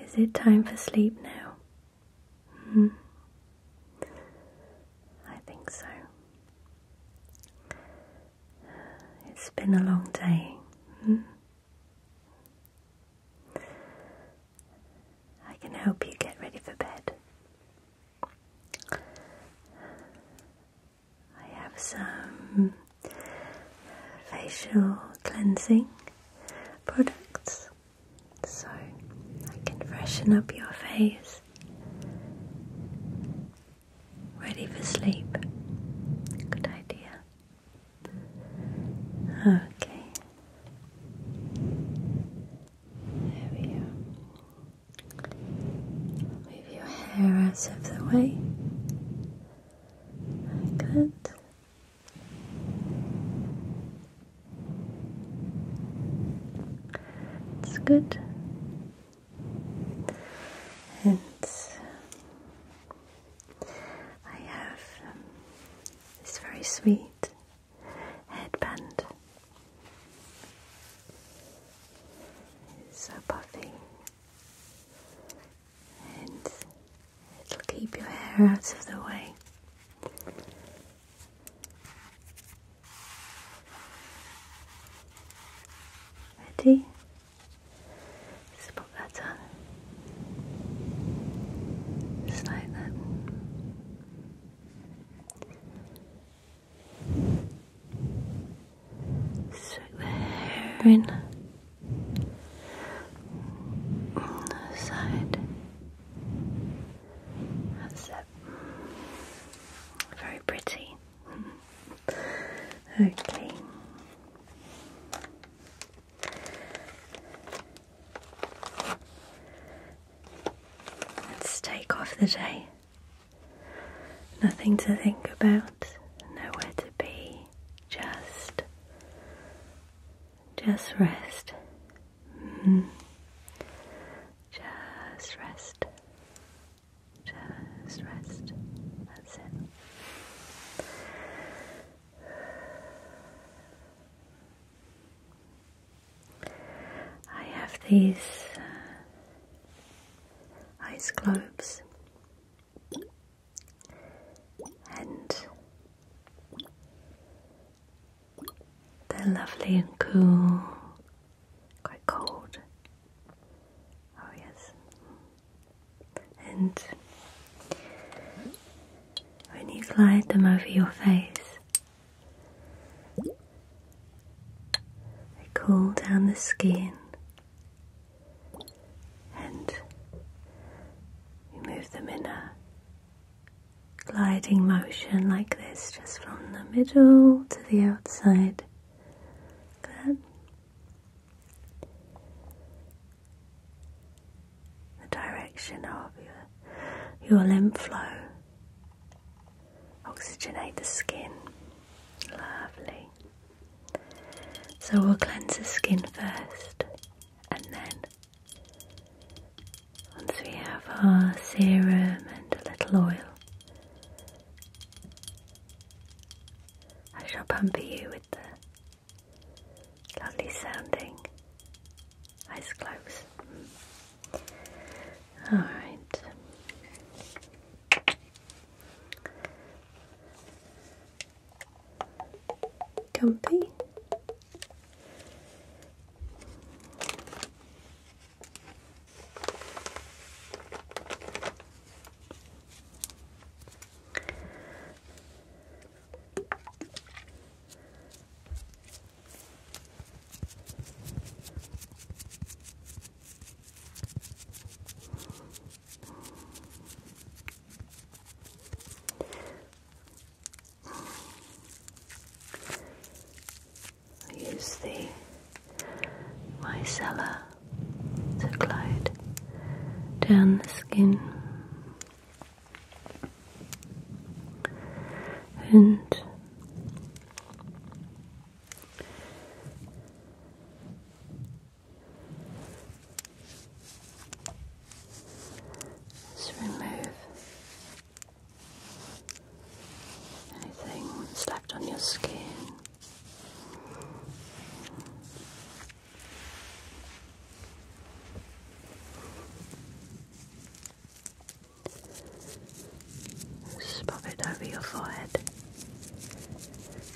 Is it time for sleep now? -hmm. I think so. It's been a long day. -hmm. I can help you get ready for bed. I have some facial cleansing products so I can freshen up your face. Ready for sleep. Good idea. Okay. There we are. Move your hair out of the way. Very good. It's good. And I have um, this very sweet headband. It's so puffy it'll keep your hair out of the way. Ready? Just that on. Just like that. Swearing on the side. That's it. Very pretty. okay. Let's take off the day. Nothing to think about, nowhere to be, just just rest. Mm-hmm. Just rest. Just rest. That's it. I have these uh, ice globes and they're lovely and cool, quite cold. Oh, yes. And when you slide them over your face, they cool down the skin and you move them in a gliding motion like this, just from the middle to the outside. Like the direction of your, your lymph flow. Oxygenate the skin. Lovely. So we'll cleanse the skin first and then once we have our serum and a little oil, I shall pamper you with the lovely sounding eyes closed. All right comfy. I use the mycelia to glide down the skin and just remove anything left on your skin. Just it over your forehead.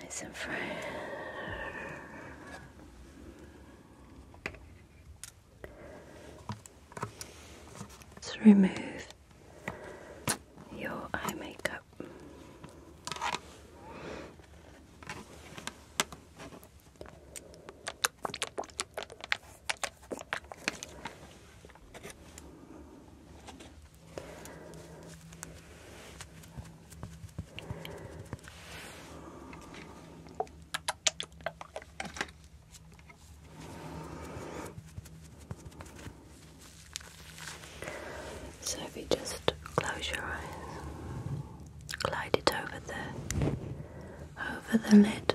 nice and fresh. Let's remove your eye makeup. So if you just close your eyes, glide it over the over the lid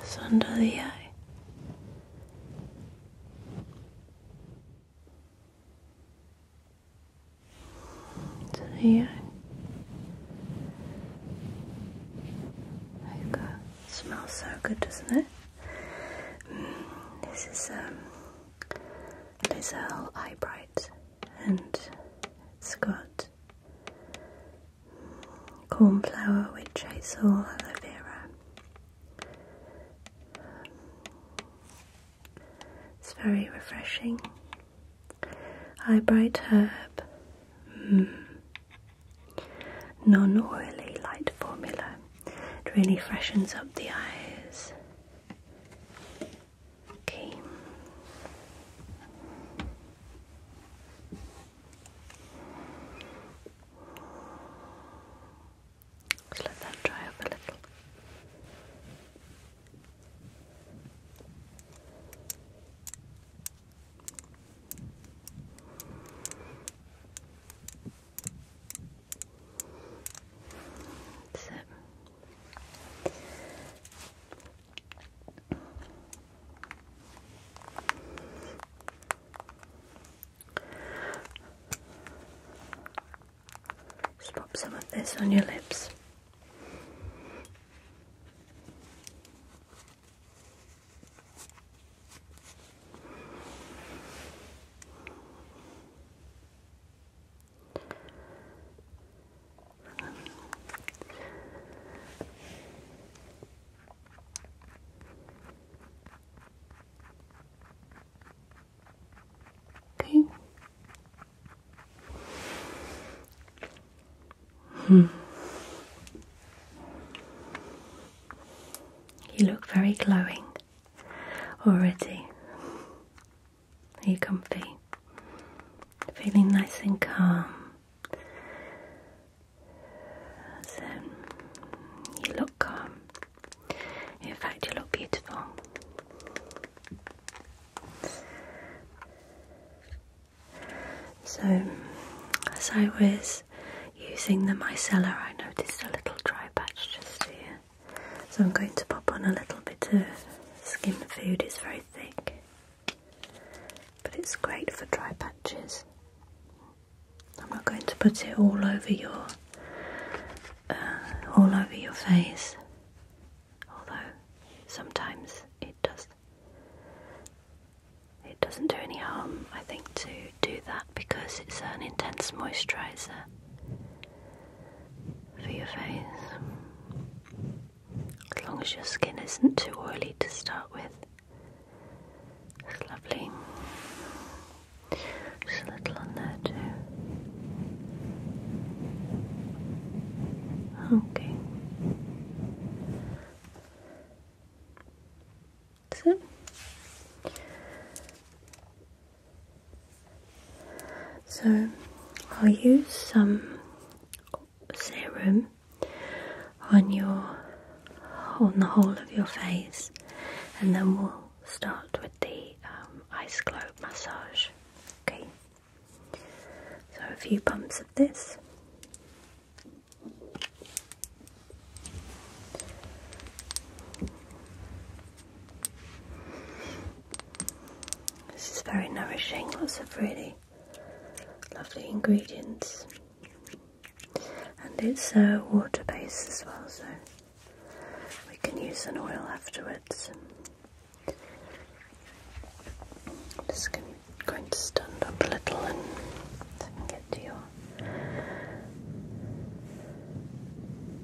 Just under the eye. To the eye. There you smells so good, doesn't it? Mm, this is um Lizelle Eyebright, and it's got cornflower, witch hazel, aloe vera. It's very refreshing. Eyebright herb, mm. non oily light formula. It really freshens up the eyes. Okay. Just let that dry up a little. That's Just pop some of this on your lips. Okay. Hmm. You look very glowing already. Are you comfy? Feeling nice and calm. So, you look calm. In fact, you look beautiful. So, as I was using the micellar, I noticed a little dry patch just here. So I'm going to pop on a little bit of skin food, it's very thick, but it's great for dry patches. I'm not going to put it all over your uh, all over your face, although sometimes it does. It doesn't do any harm, I think, to do that because it's an intense moisturizer for your face. As long as your skin isn't too oily to start with. It's lovely. Just a little on there too. Okay. That's it. So I'll use some serum on your on the whole of your face, and then we'll start with the um, ice globe massage. Okay. So a few pumps of this. This is very nourishing, lots of really lovely ingredients, and it's a uh, water based as well, so we can use an oil afterwards. I'm going to stand up a little and get to your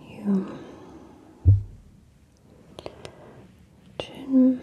you chin Okay.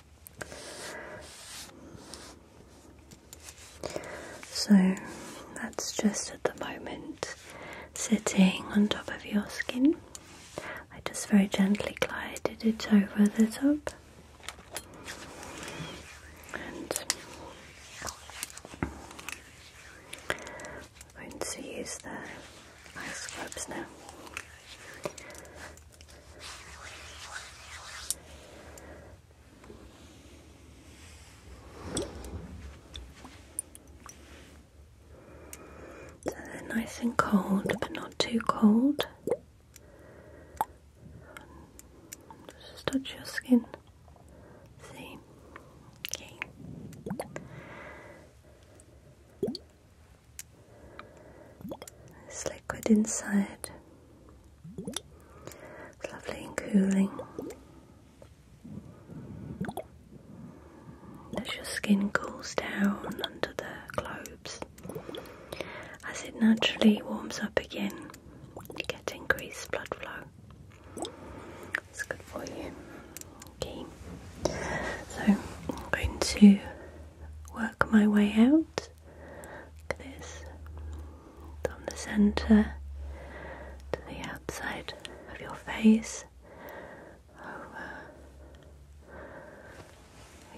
So that's just at the moment sitting on top of your skin. I just very gently glided it over the top. And I'm going to use the ice cubes now. So they're nice and cold, but not too cold. Just touch your skin. See? Okay. This liquid inside it's lovely and cooling. As your skin cools down under the globes, as it naturally warms up again, you get increased blood flow. It's good for you. Okay, so I'm going to work my way out this. From the centre to the outside of your face, over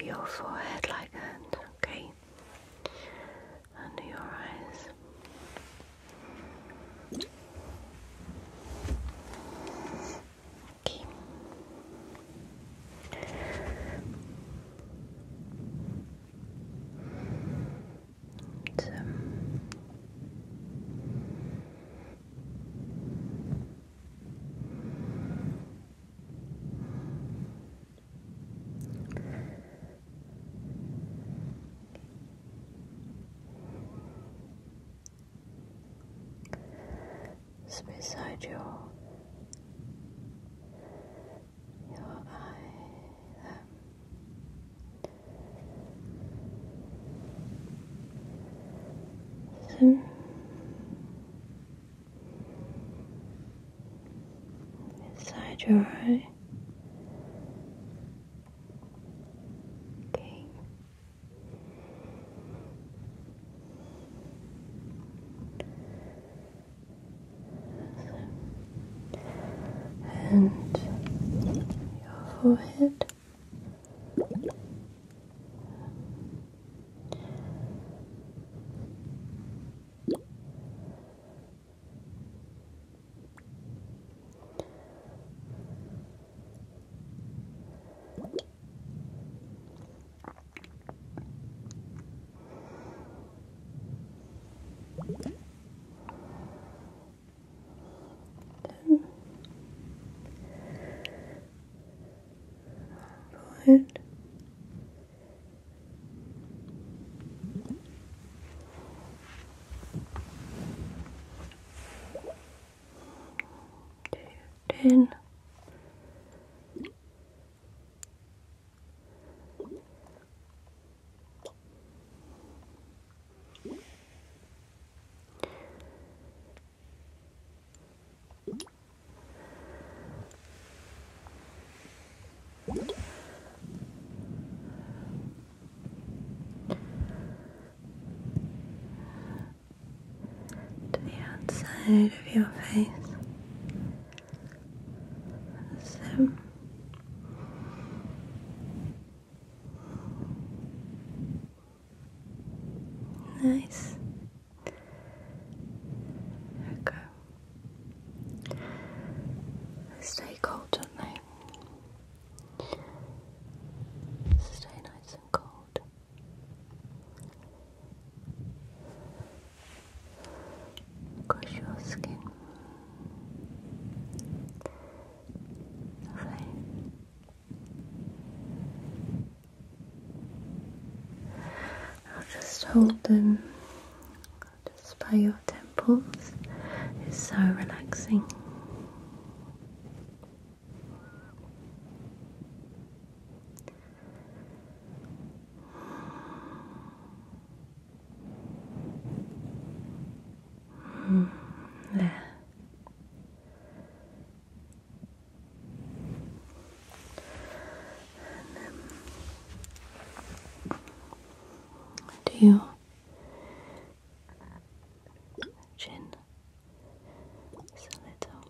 your forehead like that, okay? Under your eyes. Okay. It's beside you your eyes up. inside your eye. Okay and your forehead. Then go ahead. Do ten. To the outside of your face. So nice. There Stay cold, don't they? Stay nice and cold across your skin. Lovely. I'll just hold them just by your temples. It's so relaxing. Mm, do you chin? a little.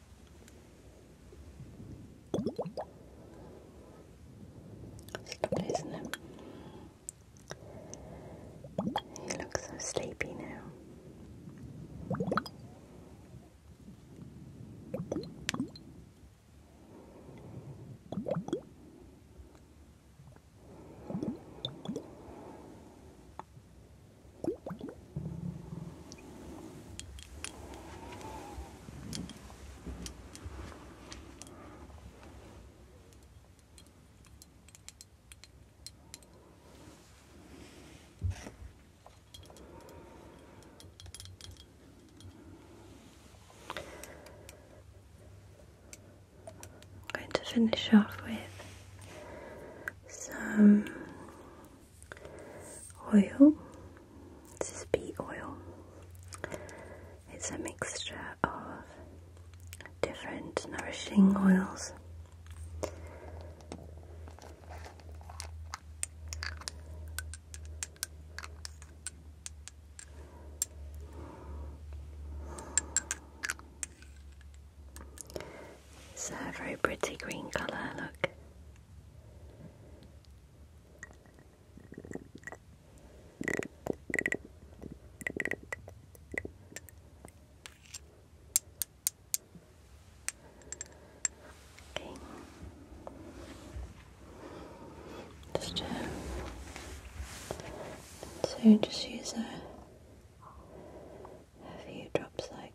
Stop it, isn't it? so sleepy now. I'm going to finish off with some oil. This is bee oil. It's a mixture of different nourishing oils. It's a very pretty green colour, look. Okay. Just uh, so just use a, few drops like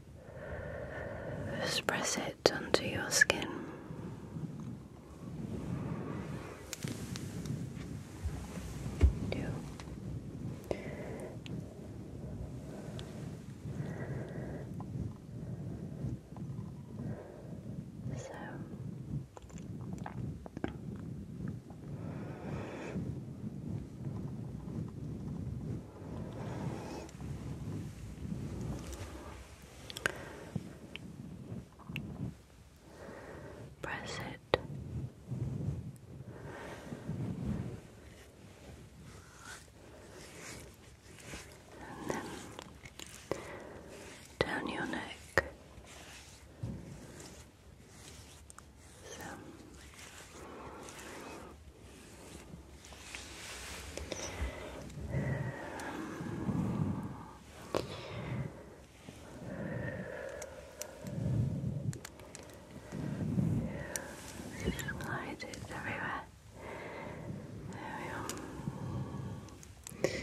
Just press it onto your skin. Two. So Press it. And then down your neck. Slide it everywhere. There we are. Good.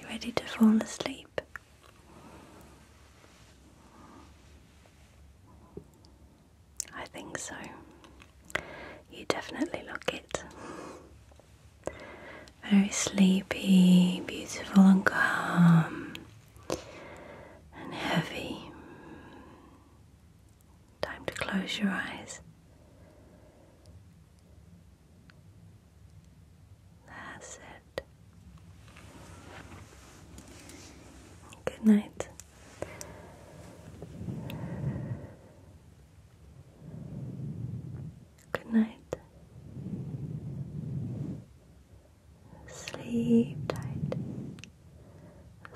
You ready to fall asleep? I think so. You definitely look it. Very sleepy, beautiful, and calm, and heavy. Time to close your eyes. That's it. Good night. Good night. Sleep tight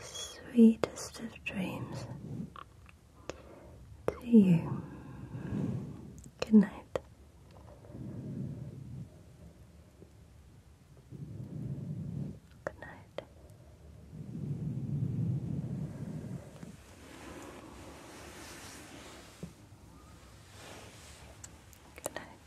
sweetest of dreams to you. Good night. Good night. Good night.